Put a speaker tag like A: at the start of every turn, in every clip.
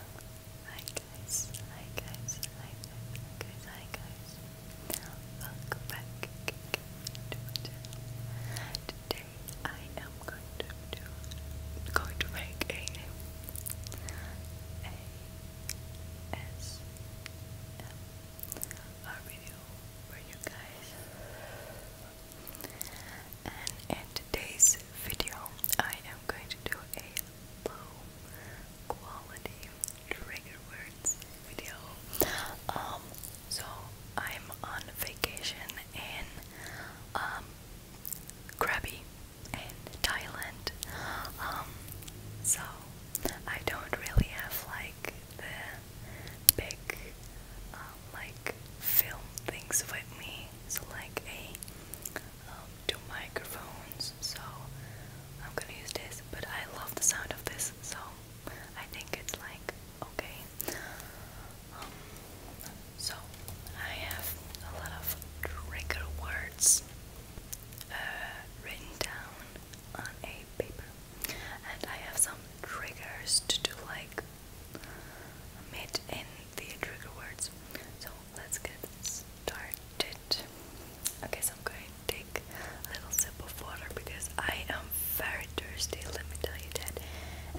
A: Hi guys, hi guys, hi guys, hi guys, Welcome back Today I am going to do going to make a a s m r video for you guys. And in today's video I am going to do a low quality trigger words video. Um, so I'm on vacation in um, Krabi in Thailand. Um, so I don't really have like the big like film things with me. So like a two um, microphones, so I'm gonna use this. But I love the sound of this, so I think it's like okay. Um, so I have a lot of trigger words uh, written down on a paper, and I have some triggers to do like mid in the trigger words. So let's get started. Okay, so I'm going to take a little sip of water because I am very thirsty, let me tell you that.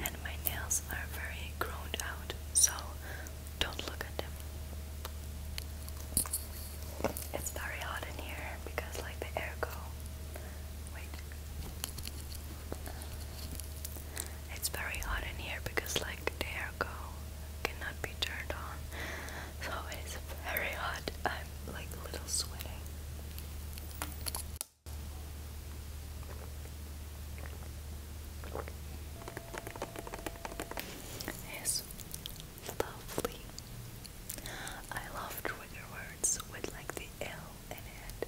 A: And my nails are very grown out, so don't look at them. It's very hot in here because like the air go. Wait. It's very hot in here because like the airco cannot be turned on. So it's very hot. I'm like little sweating. It's lovely. I love trigger words with like the L in it.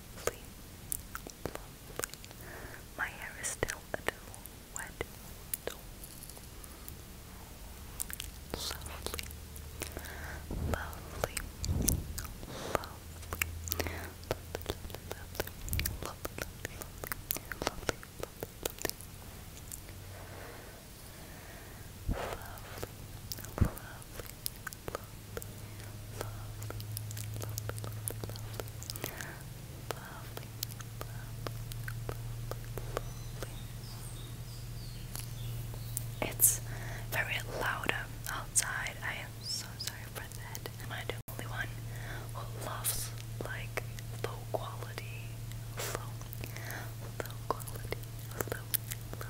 A: lovely, lovely. My hair is still a little wet, lovely, lovely, lovely, lovely, lovely, lovely, lovely, lovely, lovely. Lovely, lovely, lovely, lovely, it's very loud outside. I am so sorry for that. Am I the only one who loves like low quality, low, low quality, low, low,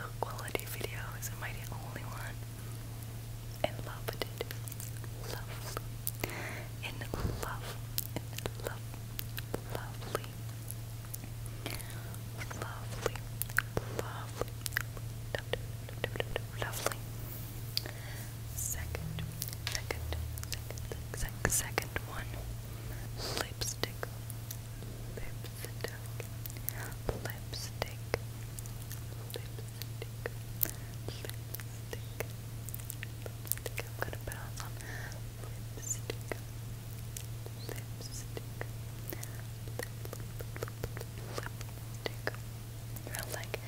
A: low quality videos? Am I the only one? in love with it. Love. In love. In love. Lovely. Lovely. Lovely. Lovely. Second. Second. Second. Second. Second one. Lipstick. Lipstick. Lipstick. Lipstick. Lipstick. Lipstick. I'm gonna balance on lipstick. Lipstick. Lip, lip, lip, lipstick. like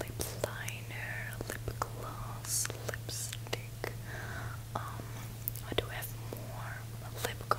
A: lip liner, lip gloss, lipstick. Um, I do have more lip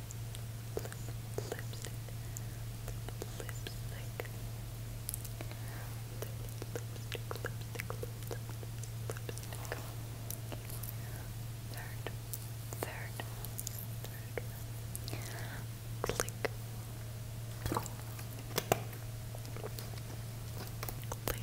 A: lip, lipstick, lip, lipstick, lip, lipstick, lipstick, lip, lipstick. Third, third, third. Click, click, click, click, click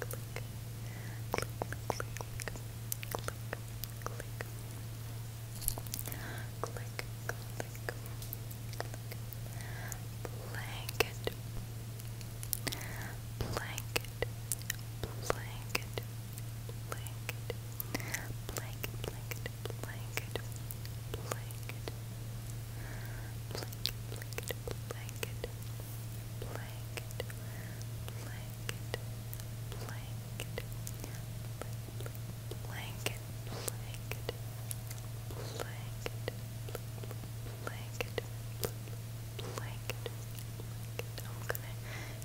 A: click, click, click, click, click, click, click, click, blanket, blanket, blanket, blanket, blanket, blanket, blanket, blanket, blanket, blanket, blanket, blanket, blanket, blanket, blanket, blanket, blanket, blanket, blanket. I'm gonna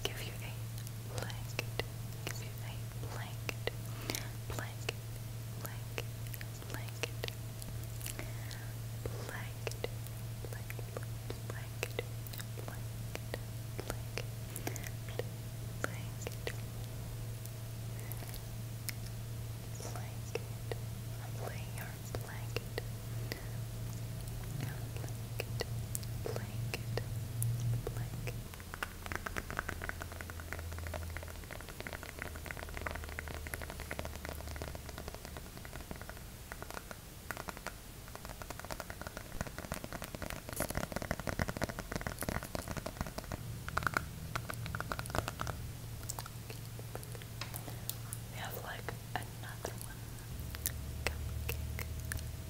A: give you a blanket, give you a blanket, blanket, blanket. Blanket, blanket, blanket, blanket, blanket, blanket, blanket, blanket, blanket, blanket, blanket, blanket, blanket we have like another one.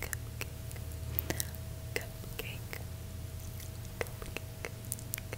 A: Cupcake, cupcake, cupcake, cupcake, cupcake,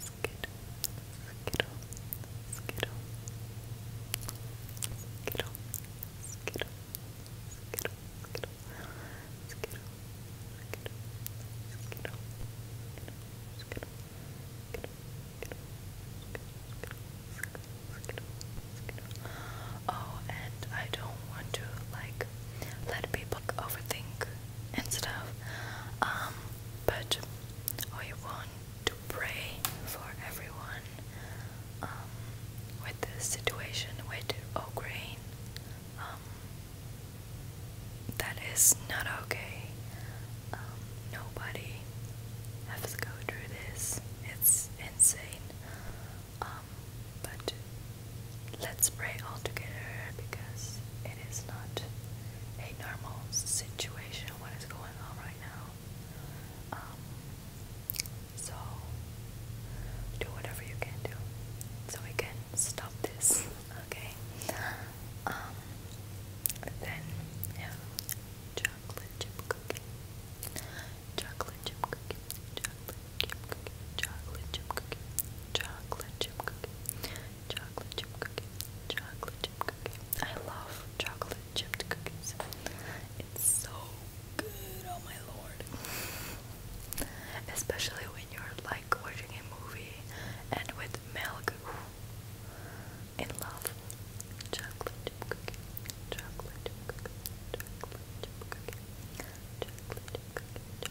A: skittle, skittle, skittle, skittle, skittle, skittle, skittle, skittle, skittle, skittle, Oh, and I don't want to like let people overthink and stuff. Um, but we want to pray for everyone um, with the situation with Ukraine. Um, that is not okay. Um, nobody has to go through this. It's insane. but let's pray all together because it is not a normal situation what is going on right now. Um, so do whatever you can do so we can stop this, okay? Um, then yeah, chocolate chip cookie, chocolate chip cookie, chocolate chip cookie, chocolate chip cookie, chocolate chip cookie, chocolate chip cookies, chocolate chip cookie. I love chocolate chip cookies. It's so good, oh my lord. Especially when you're like watching a movie and with milk. In love. Chocolate chip cookies, chocolate chip cookies, chocolate chip cookie, chocolate chip cookie,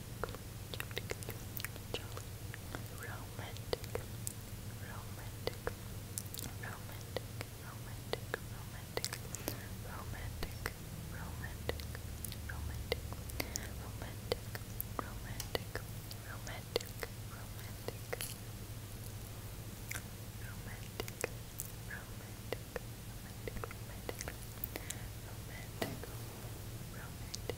A: romantic, romantic, romantic, romantic, romantic, romantic, romantic, romantic, romantic, romantic, romantic, romantic. Romantic, romantic, romantic, romantic, romantic, romantic,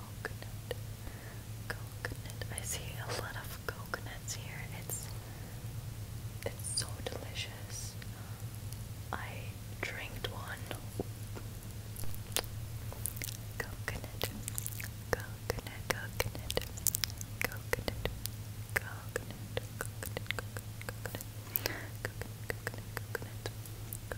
A: coconut, coconut. I see a lot of coconuts here. It's it's so delicious. I drank one. Coconut, coconut, coconut, coconut, coconut, coconut, coconut, coconut, coconut, coconut, coconut,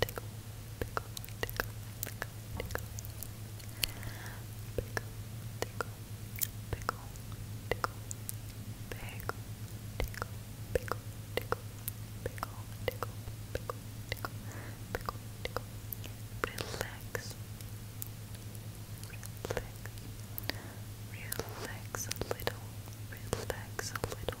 A: tickle, tickle, tickle, tickle, tickle, pickle, tickle, pickle, tickle, pickle, tickle, pickle, tickle, pickle, tickle, pickle, tickle, pickle, tickle, relax, relax, relax a little, relax a little.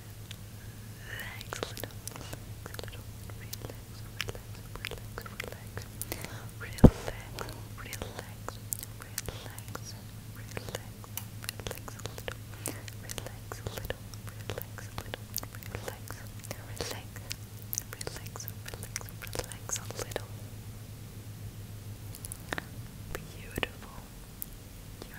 A: Relax, little, relax, little, relax, relax, relax, relax, relax, relax, relax, relax, relax a little, relax a little, relax a little, relax, relax, relax, relax, relax a little. Beautiful. You're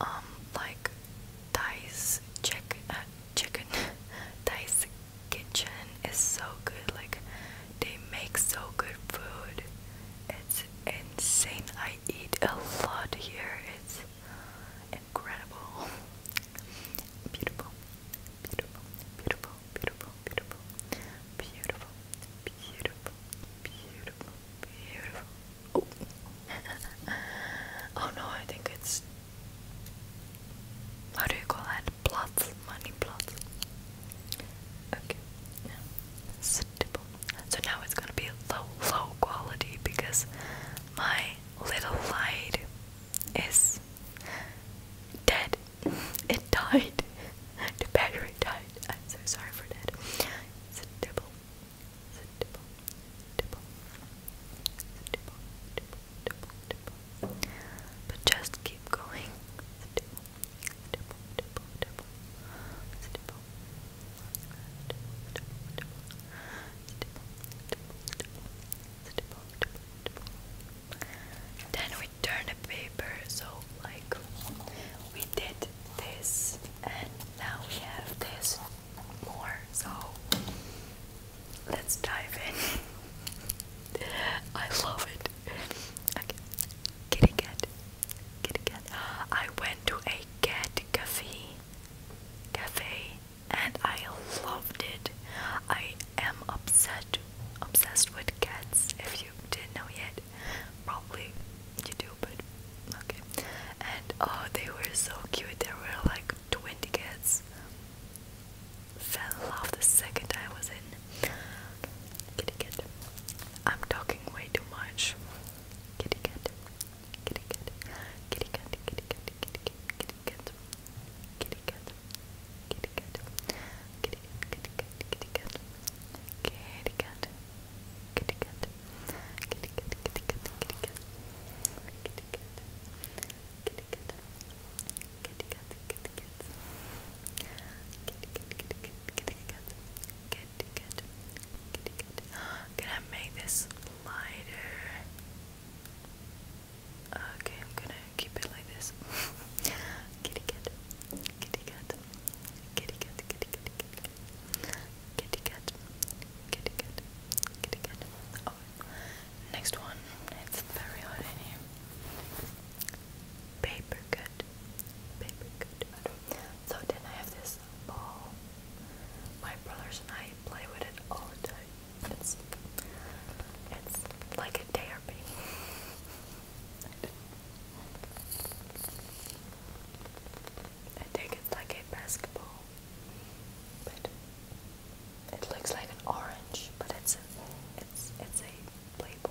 A: um like Dice chick uh, chicken Dice kitchen is so good like they make so good food it's insane I eat a lot here it's incredible beautiful beautiful beautiful beautiful beautiful beautiful beautiful beautiful beautiful beautiful Oh. no, I think it's. How do you call that? Plots, money plots. Okay, yeah. Sittable. So now it's gonna be low, low quality because my little light is dead. It died. the battery died. I'm so sorry for that. Sittable. But just keep going. Then we turn the paper so like we did this and now we have this more. So let's dive in. I love it. Okay. Kitty cat. Kitty cat. I went to a cat cafe. Cafe and I loved it. I am upset obsessed with cats if you didn't know yet. Probably you do but okay. And oh they were so cute. They were like like 20 kids. Fell off the second I was in. Kitty cat. I'm talking way too much. Kitty cat. Kitty cat. Kitty cat. Kitty cat. Kitty cat. Kitty cat. Kitty cat. Kitty cat. Kitty cat. Kitty cat. Kitty cat. Kitty cat. Kitty cat kitty, kitty, kitty, kitty, kitty, kitty, kitty, kitty, kitty, kitty, kitty, kitty, kitty, kitty, kitty, kitty, kitty, can I make this lighter? Okay, I'm gonna keep it like this. kitty cat, kitty cat, kitty cat, kitty cat, kitty cat, kitty cat, kitty cat, kitty cat. Oh, next one. It's very hot in here. Paper cut, paper cut. So then I have this ball. My brothers and I play with it all the time. It's it's like a therapy. I think it's like a basketball. But it looks like an orange, but it's a, it's it's a label.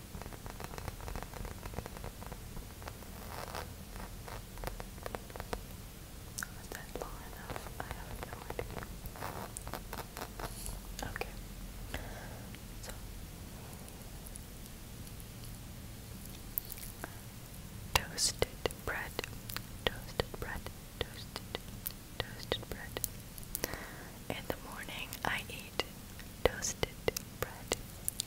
A: Was that long enough? I have no idea. Okay. So toasted bread, toasted bread, toasted, toasted bread. In the morning I eat toasted bread,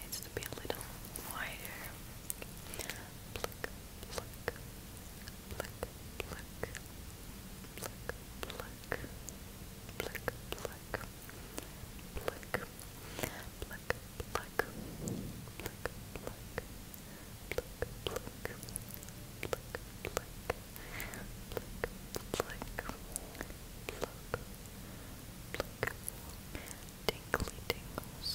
A: Needs to be a little wider pluck, pluck, pluck, pluck, pluck, pluck, pluck, pluck, pluck, pluck, pluck. Pluck, pluck, pluck, pluck, pluck, pluck, pluck, pluck. Tingly tingles,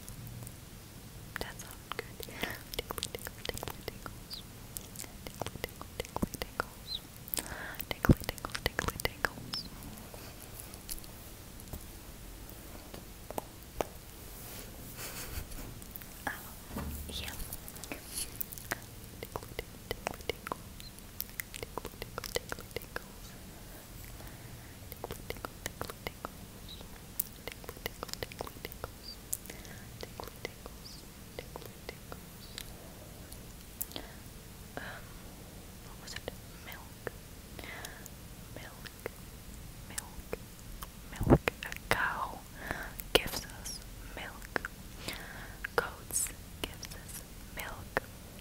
A: That sounds good. Tickly, tickly, tickly, tickles. Tickly, tickly, tickly, tickles. Tickly, tickly, tickly, tickles. Uh, yeah. Tickle, tickle, tickle, tickles. Tickle, tickle, tickle, tickles what was it? Milk. Milk. Milk. Milk. A cow gives us milk. Goats gives us milk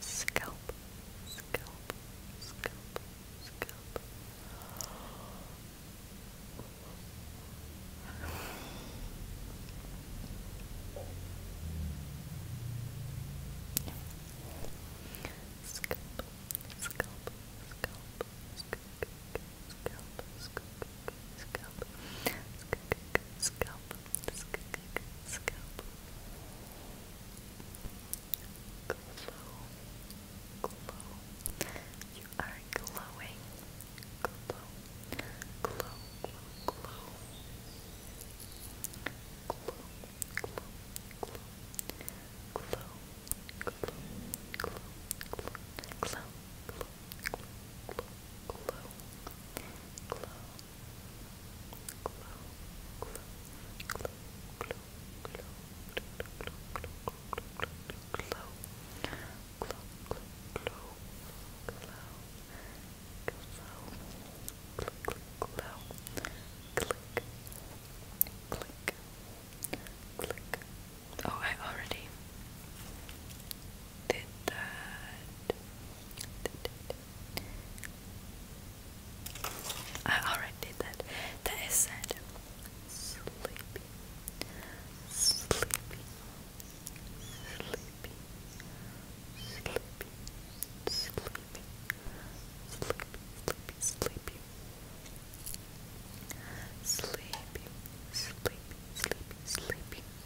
A: scalp, scalp, scalp, scalp. Scalp, scalp, scalp, scalp, scalp, scalp, scalp, scalp, scalp, scalp. Glow, glow. You are glowing. glow, glow, glow, glow, glow, glow, glow, glow, glow, glow, glow, glow, glow, glow, glow, glow, glow, glow, Oh, I already did that. I already did that. That is said. Sleepy. Sleepy. Sleepy. Sleepy. Sleepy. Sleepy. Sleepy. Sleepy. Sleepy. Sleepy. Sleepy. Sleepy.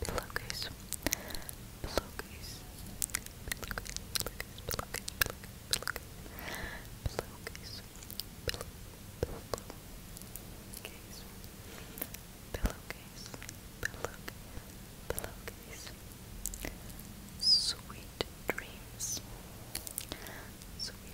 A: Pillowcase. Pillowcase. Pillowcase. Pillowcase. Pillowcase. Pillowcase. Pillowcase. Pillowcase. Pillowcase. Sweet dreams. Sweet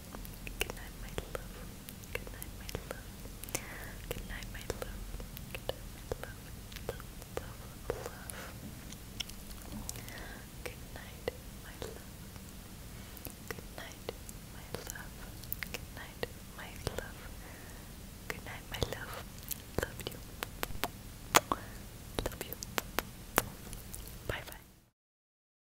A: Good night, my love. Good night, my love. Good night, my love. Good night, my love. Love, love, love. Good night, my love. Good night, my love. Good night, my love. Good night, my love. Love you. Love you. Bye bye.